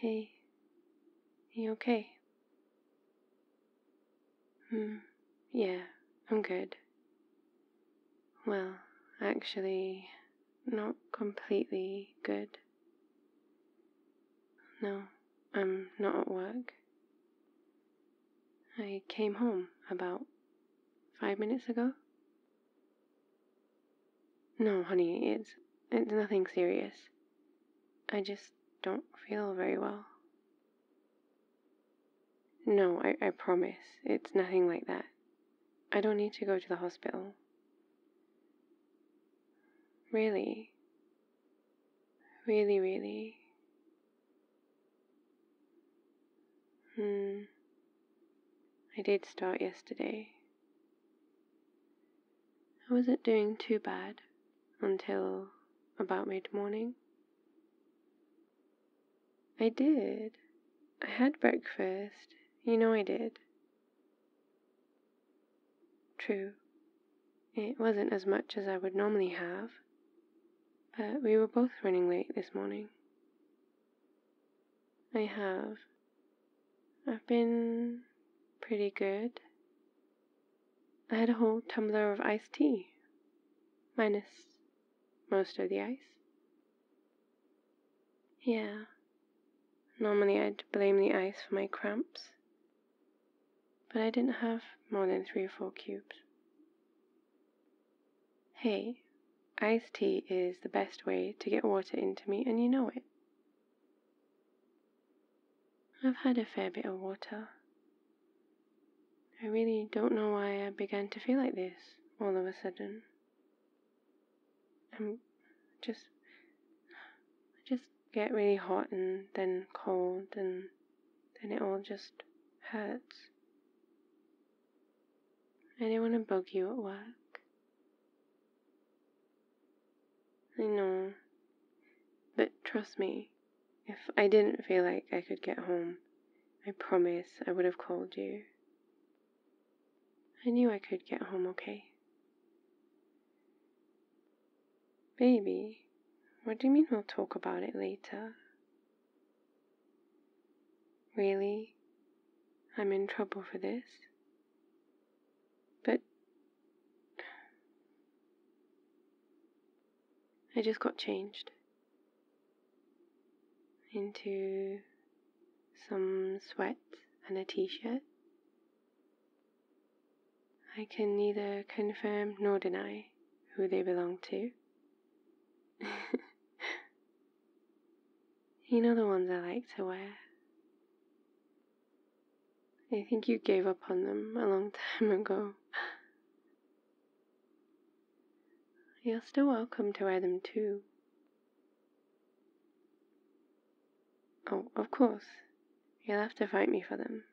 Hey, you okay? Hmm, yeah, I'm good. Well, actually, not completely good. No, I'm not at work. I came home about five minutes ago. No, honey, it's it's nothing serious. I just don't feel very well. No, I, I promise. It's nothing like that. I don't need to go to the hospital. Really. Really, really. Hmm. I did start yesterday. I wasn't doing too bad until about mid morning. I did. I had breakfast. You know I did. True. It wasn't as much as I would normally have, but we were both running late this morning. I have I've been pretty good. I had a whole tumbler of iced tea, minus most of the ice. Yeah, normally I'd blame the ice for my cramps, but I didn't have more than three or four cubes. Hey, iced tea is the best way to get water into me, and you know it. I've had a fair bit of water. I really don't know why I began to feel like this all of a sudden. I'm just. I just get really hot and then cold and then it all just hurts. I didn't want to bug you at work. I know. But trust me, if I didn't feel like I could get home, I promise I would have called you. I knew I could get home okay. Baby, what do you mean we'll talk about it later? Really? I'm in trouble for this? But I just got changed into some sweat and a t shirt. I can neither confirm nor deny who they belong to. You know the ones I like to wear. I think you gave up on them a long time ago. You're still welcome to wear them too. Oh, of course. You'll have to fight me for them.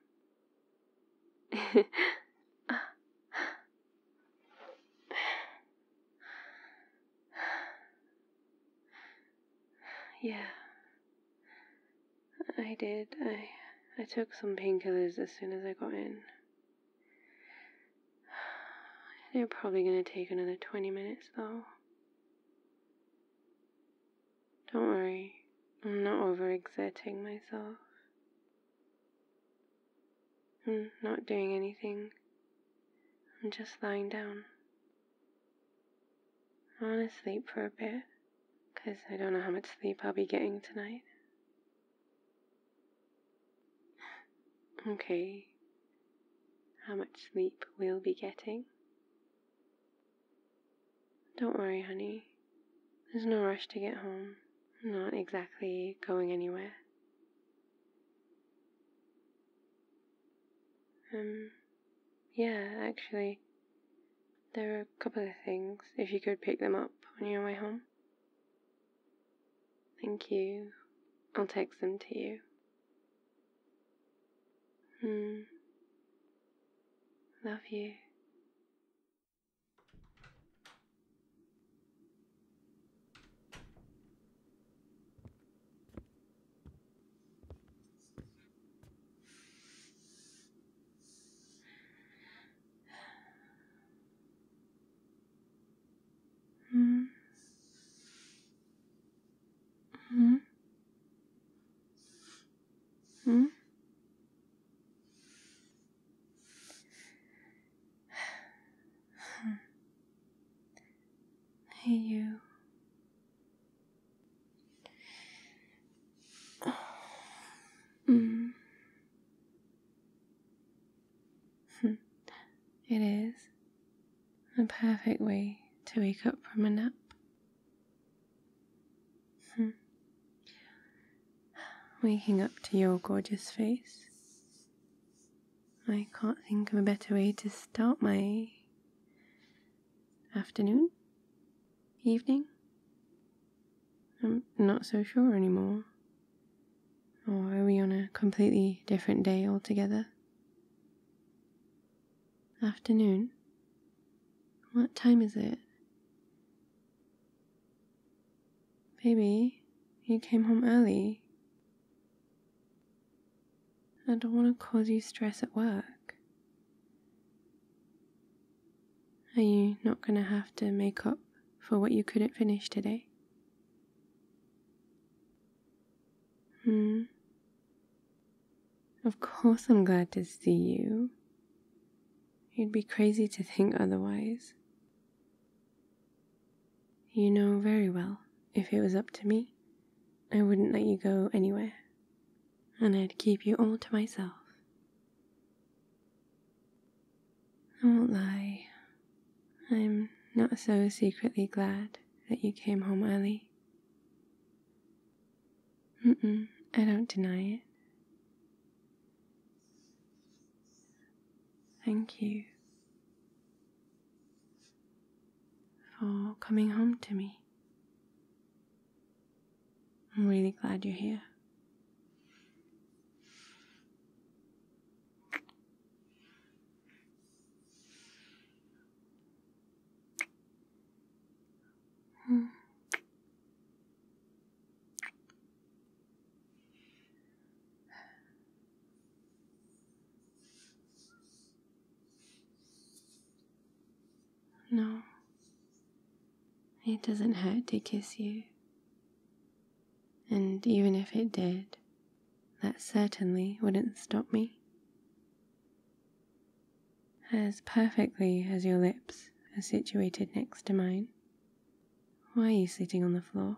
yeah. I did. I I took some painkillers as soon as I got in. They're probably gonna take another twenty minutes though. Don't worry, I'm not overexerting myself. I'm not doing anything. I'm just lying down. I want to sleep for a bit because I don't know how much sleep I'll be getting tonight. okay. How much sleep we'll be getting. Don't worry, honey. There's no rush to get home. not exactly going anywhere. Um, yeah, actually, there are a couple of things, if you could pick them up on your way home. Thank you. I'll text them to you. Hmm. Love you. Hmm. Hmm. Hmm. Hey, you. Mm. it is a perfect way to wake up from a nap. Hmm. Waking up to your gorgeous face I can't think of a better way to start my afternoon? Evening? I'm not so sure anymore. Or are we on a completely different day altogether? Afternoon? What time is it? Baby, you came home early. I don't want to cause you stress at work. Are you not going to have to make up for what you couldn't finish today? Hmm. Of course, I'm glad to see you. You'd be crazy to think otherwise. You know very well, if it was up to me, I wouldn't let you go anywhere, and I'd keep you all to myself. I won't lie, I'm not so secretly glad that you came home early. Mm-mm, I don't deny it. Thank you for coming home to me. I'm really glad you're here. Hmm. No, it doesn't hurt to kiss you. And even if it did, that certainly wouldn't stop me. As perfectly as your lips are situated next to mine, why are you sitting on the floor?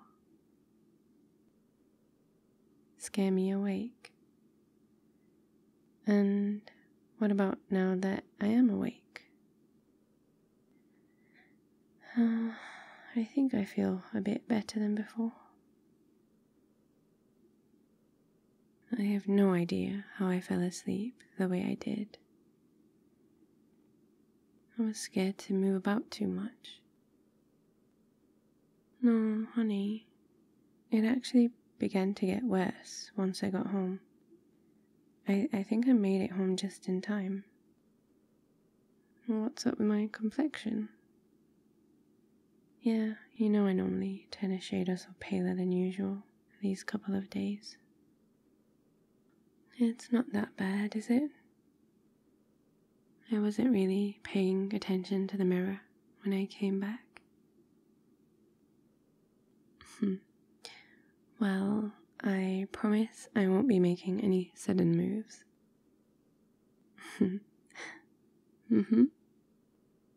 scare me awake. And what about now that I am awake? Uh, I think I feel a bit better than before. I have no idea how I fell asleep the way I did. I was scared to move about too much. No, honey, it actually began to get worse once I got home. I, I think I made it home just in time. What's up with my complexion? Yeah, you know I normally turn a shade or paler than usual these couple of days. It's not that bad, is it? I wasn't really paying attention to the mirror when I came back. Hmm. well, I promise I won't be making any sudden moves. Mhm. hmm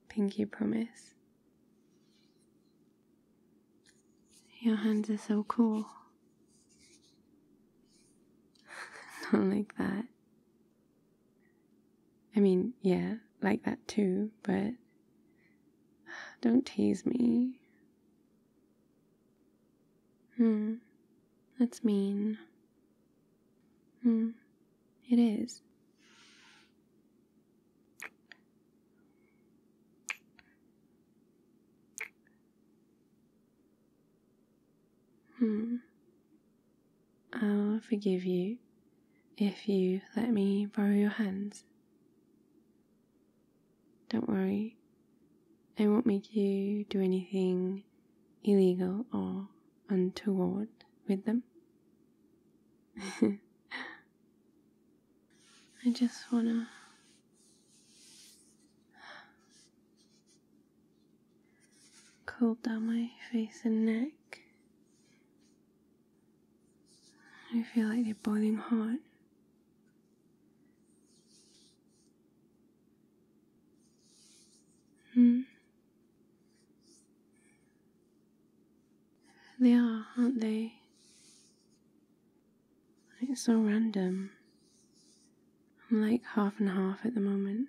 Pinky promise. Your hands are so cool. Not like that. I mean, yeah, like that too, but don't tease me. Hmm, that's mean. Hmm, it is. Hmm. I'll forgive you if you let me borrow your hands. Don't worry, I won't make you do anything illegal or untoward with them. I just wanna cold down my face and neck. I feel like they're boiling hot. Hmm. They are, aren't they? It's so random. I'm like half and half at the moment.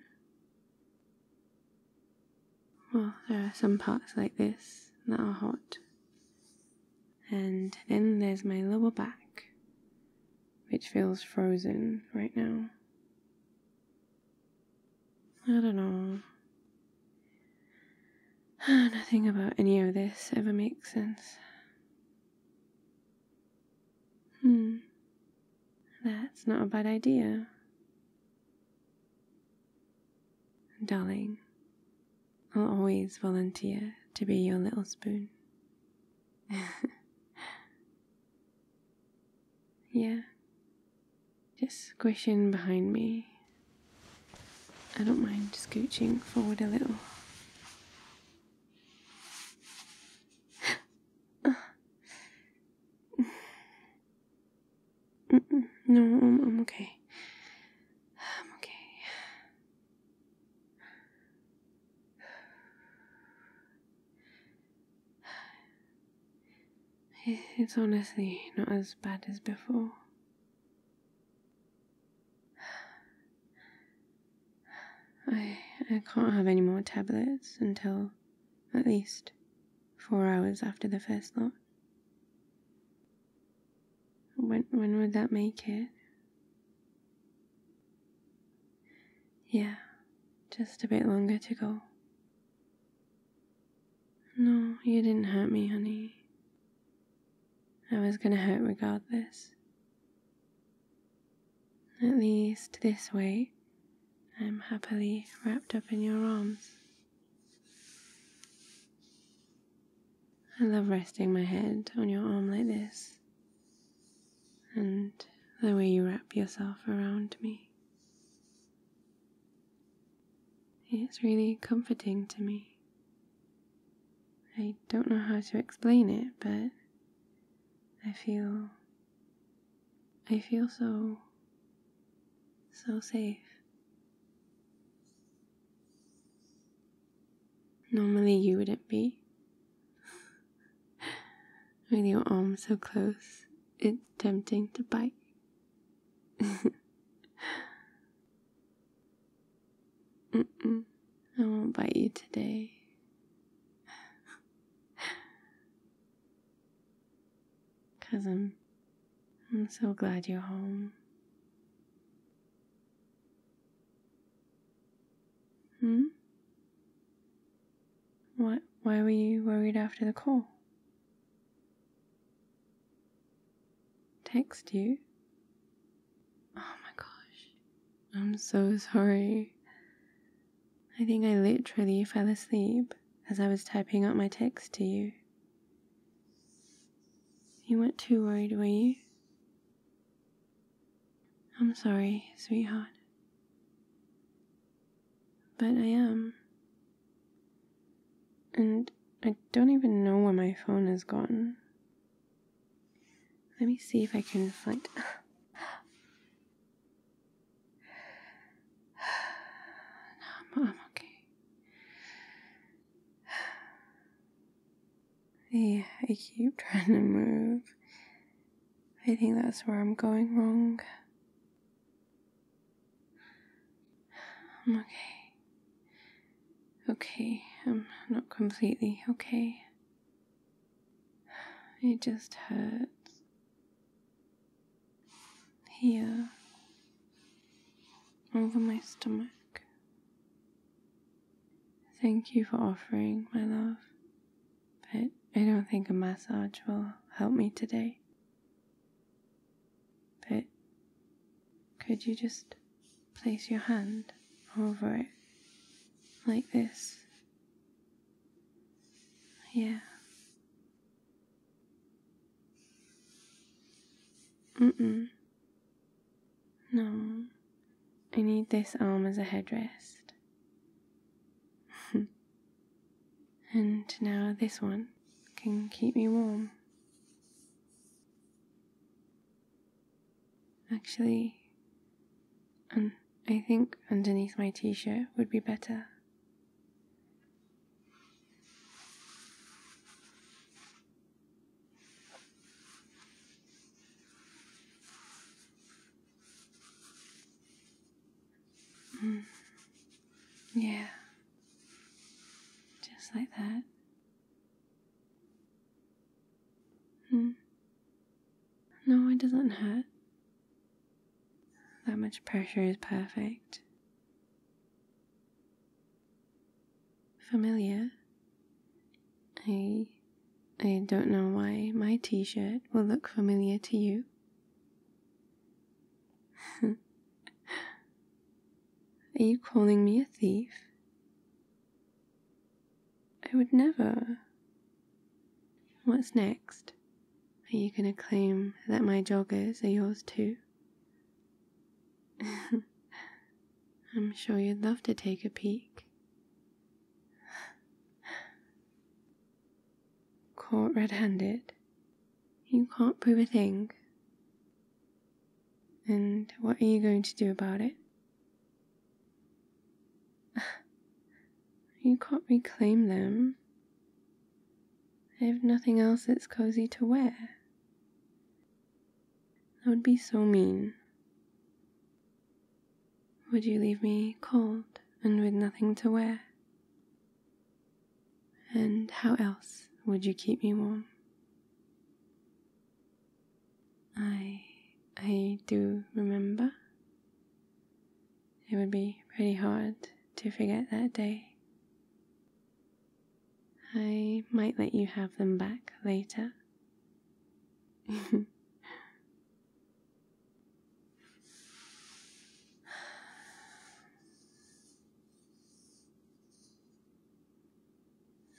Well, there are some parts like this that are hot. And then there's my lower back, which feels frozen right now. I don't know. Nothing about any of this ever makes sense. Hmm. That's not a bad idea. Darling, I'll always volunteer to be your little spoon. yeah, just squish in behind me. I don't mind scooching forward a little. Ah no, I'm okay. I'm okay. It's honestly not as bad as before. I I can't have any more tablets until at least four hours after the first lot. When, when would that make it? Yeah, just a bit longer to go. No, you didn't hurt me, honey. I was gonna hurt regardless. At least this way, I am happily wrapped up in your arms. I love resting my head on your arm like this, and the way you wrap yourself around me. It's really comforting to me. I don't know how to explain it, but I feel I feel so, so safe. Normally, you wouldn't be. With your arm so close, it's tempting to bite. mm -mm, I won't bite you today. Cousin, I'm so glad you're home. Hmm? What? Why were you worried after the call? Text you? Oh my gosh. I'm so sorry. I think I literally fell asleep as I was typing out my text to you. You weren't too worried, were you? I'm sorry, sweetheart. But I am. And I don't even know where my phone has gone. Let me see if I can find. No, I'm, okay. I, I keep trying to move. I think that's where I'm going wrong. I'm okay. Okay, I'm not completely okay. It just hurts here over my stomach. Thank you for offering, my love, but I don't think a massage will help me today. But could you just place your hand over it like this? Yeah, Mm mm. No, I need this arm um, as a headrest. and now this one can keep me warm. Actually, I think underneath my t shirt would be better. Mm. Yeah, just like that. Mm. No, it doesn't hurt. That much pressure is perfect. Familiar. I I don't know why my t-shirt will look familiar to you. Are you calling me a thief? I would never. What's next? Are you going to claim that my joggers are yours too? I'm sure you'd love to take a peek. Caught red handed. You can't prove a thing. And what are you going to do about it? You can't reclaim them. I've nothing else that's cozy to wear. That would be so mean. Would you leave me cold and with nothing to wear? And how else would you keep me warm? I I do remember. It would be pretty hard to forget that day. I might let you have them back later.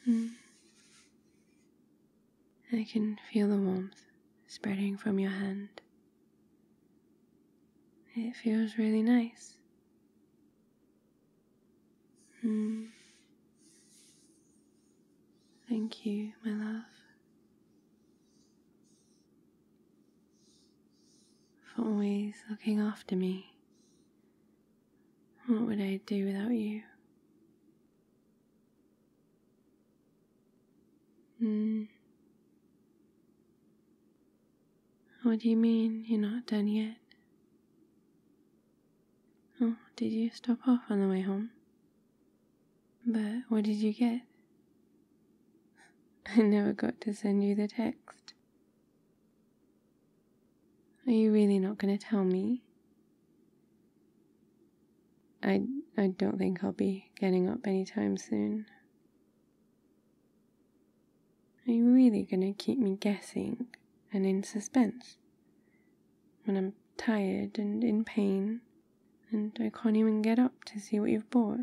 Hmm. I can feel the warmth spreading from your hand it feels really nice. Hmm. Thank you, my love, for always looking after me. What would I do without you? Mm. What do you mean you're not done yet? Oh, did you stop off on the way home? But what did you get? I never got to send you the text. Are you really not going to tell me? I, I don't think I'll be getting up any time soon. Are you really going to keep me guessing and in suspense when I'm tired and in pain and I can't even get up to see what you've bought?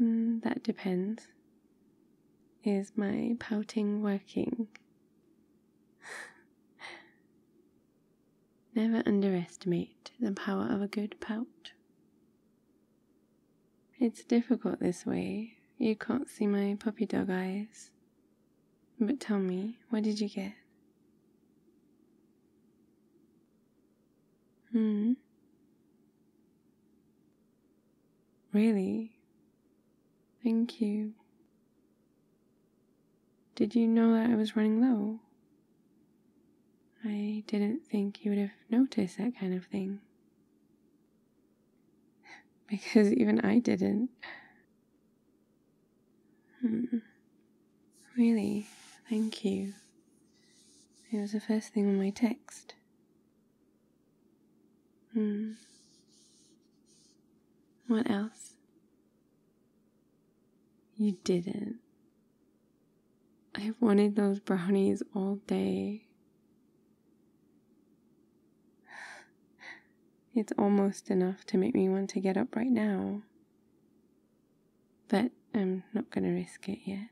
Mm, that depends. Is my pouting working? Never underestimate the power of a good pout. It's difficult this way. You can't see my puppy dog eyes. But tell me, what did you get? Hmm. Really? Thank you. Did you know that I was running low? I didn't think you would have noticed that kind of thing. because even I didn't. Hmm. Really, thank you. It was the first thing on my text. Hmm. What else? You didn't. I've wanted those brownies all day. It's almost enough to make me want to get up right now. But I'm not going to risk it yet.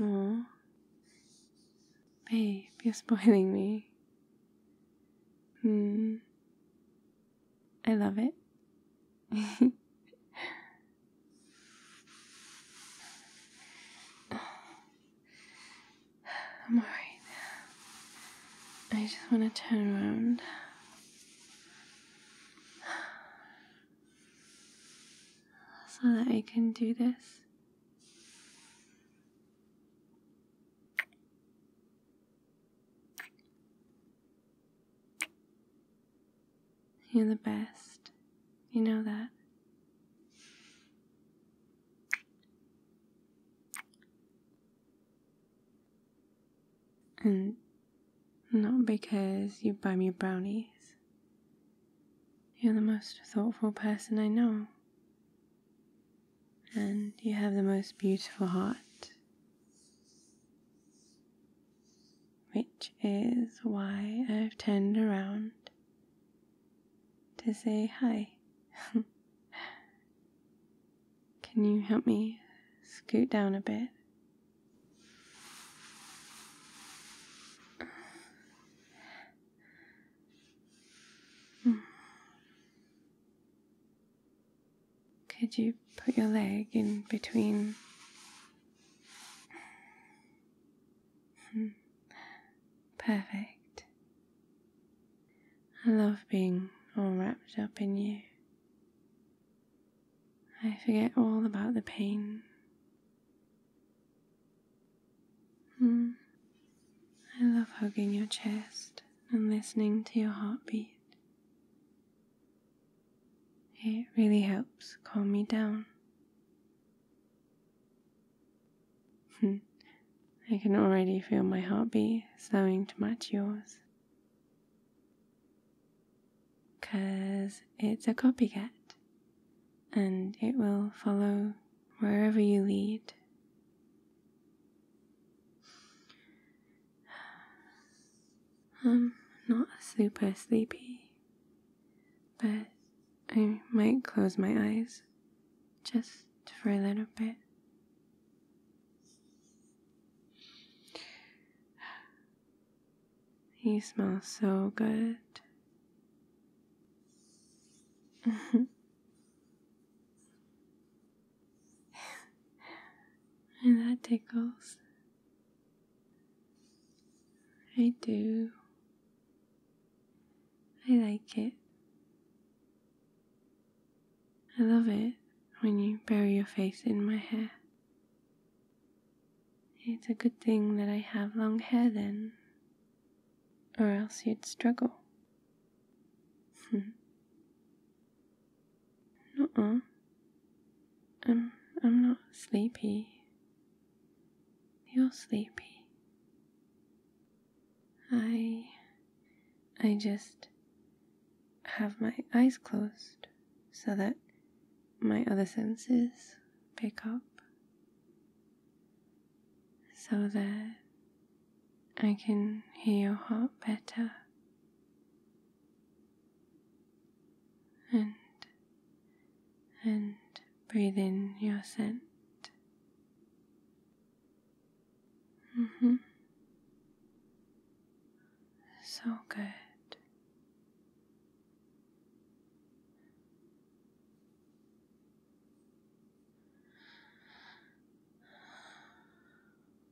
Aww. Babe, you're spoiling me. Hmm. I love it. I'm alright. I just want to turn around. So that I can do this. You're the best. You know that. And not because you buy me brownies. You're the most thoughtful person I know. And you have the most beautiful heart which is why I've turned around to say hi. Can you help me scoot down a bit? Could you put your leg in between? Hmm. Perfect. I love being all wrapped up in you. I forget all about the pain. Hmm. I love hugging your chest and listening to your heartbeat. It really helps calm me down. Hmm. I can already feel my heartbeat slowing to match yours. Because it's a copycat and it will follow wherever you lead. I'm um, not super sleepy, but I might close my eyes just for a little bit. You smell so good. and that tickles. I do. I like it. I love it when you bury your face in my hair. It's a good thing that I have long hair then, or else you'd struggle. No, I'm I'm not sleepy. You're sleepy. I I just have my eyes closed so that my other senses pick up so that I can hear your heart better and and breathe in your scent. Mm-hmm. so good.